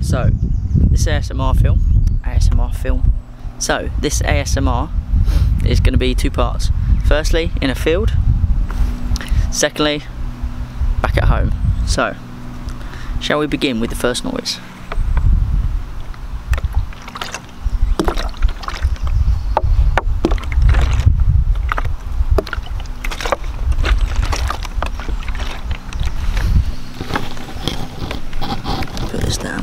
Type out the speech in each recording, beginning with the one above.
So, this ASMR film, ASMR film. So, this ASMR is going to be two parts. Firstly, in a field. Secondly, back at home. So, shall we begin with the first noise? Put this down.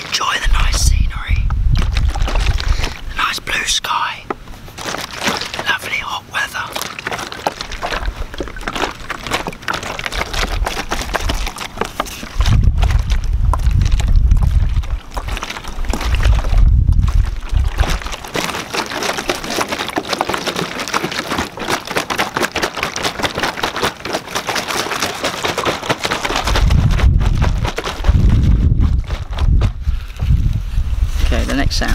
Enjoy the nice scenery, nice blue sky, lovely hot weather. Okay, the next sound.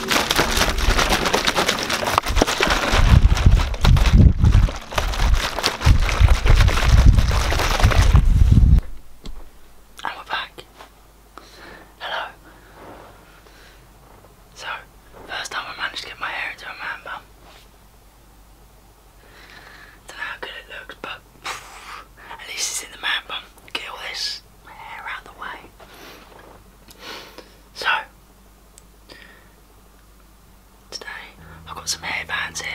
And we're back. Hello. So, first time I managed to get my hair into a man bun. Don't know how good it looks, but at least it's in the man bun. Get this hair out the way. So, Today I've got some hair bands here.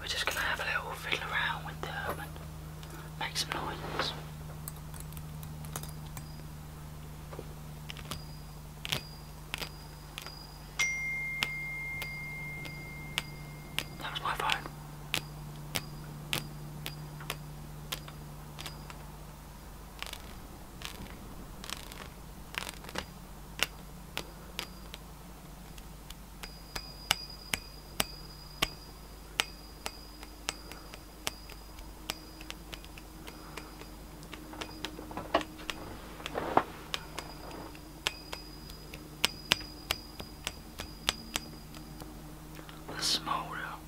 We're just going to have a little fiddle around with them and make some noise. That was my phone. The small room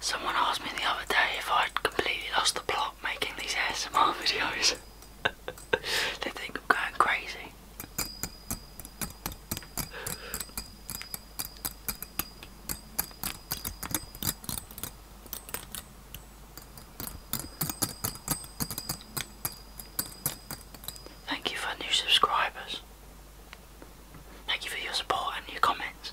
Someone asked me the other day if I'd completely lost the plot making these ASMR videos. they think I'm going crazy. Thank you for new subscribers. Thank you for your support and your comments.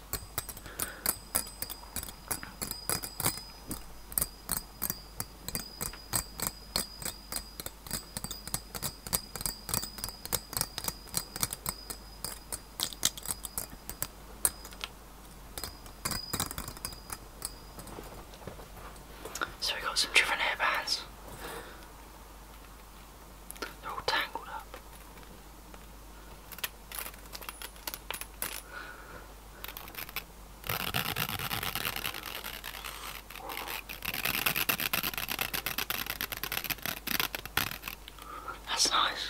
So we got some different hairbands. They're all tangled up. That's nice.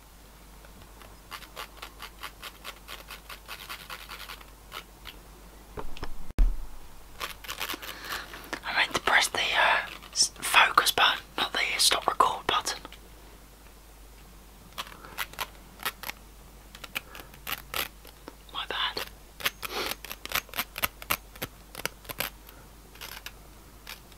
I meant to press the uh, focus button, not the stop record button. My bad.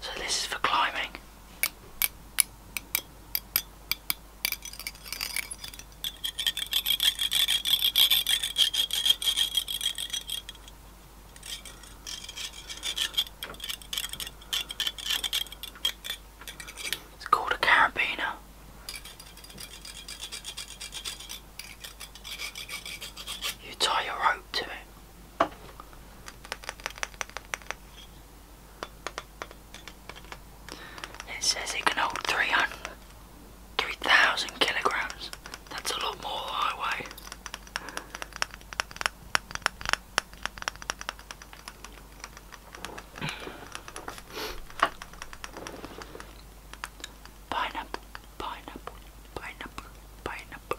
So this is for climbing. It's called a carabiner. You tie your rope to it. It says it can hold 300, 3,000 kilograms. That's a lot more than I weigh. Pineapple, pineapple, pineapple, pineapple.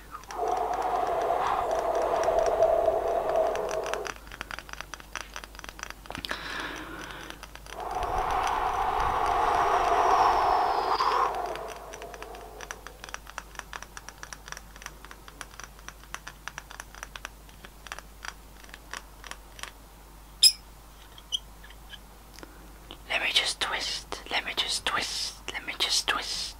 Let me just twist, let me just twist, let me just twist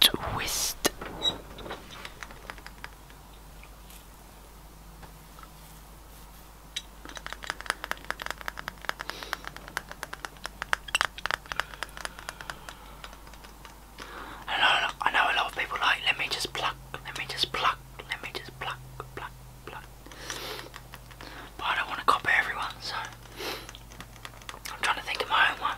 twist. I know, I know a lot of people like, let me just pluck, let me just pluck, let me just pluck, pluck, pluck. But I don't want to copy everyone, so I'm trying to think of my own one.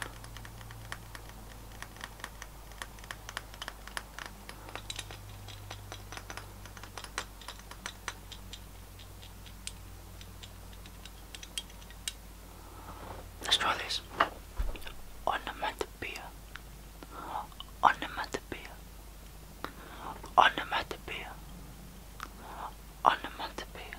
Let's try this. Onomatopoeia. Onomatopoeia. Onomatopoeia. Onomatopoeia.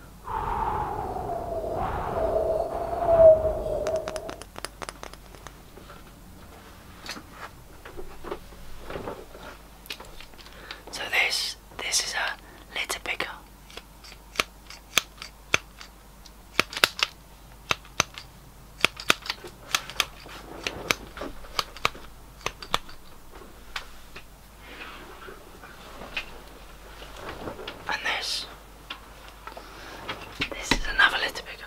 So this this is a litter picker. And this. This is another little bigger.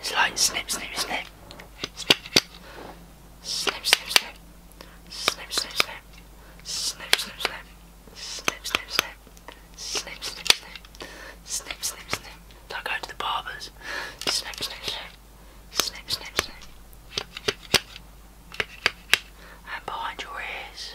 It's like snip, snip, snip. Snip, snip, snip. Snip, snip, snip. Snip, snip, snip. Snip, snip, snip. Snip, snip, snip. Snip, snip, snip. Don't go to the barbers. Snip, snip, snip. Snip, snip, snip. And behind your ears.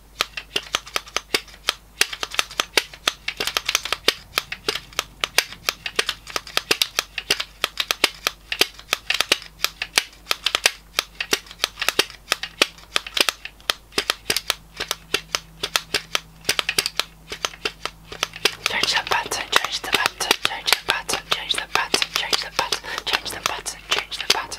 Change the button, change the button, change the button, change the button, change the button, change the button, change the button.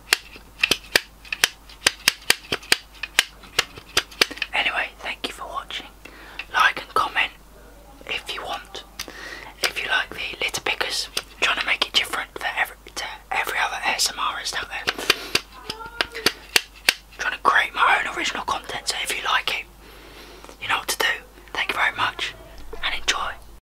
Anyway, thank you for watching. Like and comment if you want. If you like the litter pickers, trying to make it different for every, to every other ASMRist out there. trying to create my own original content, so if you like it, you know what to do. Thank you very much and enjoy.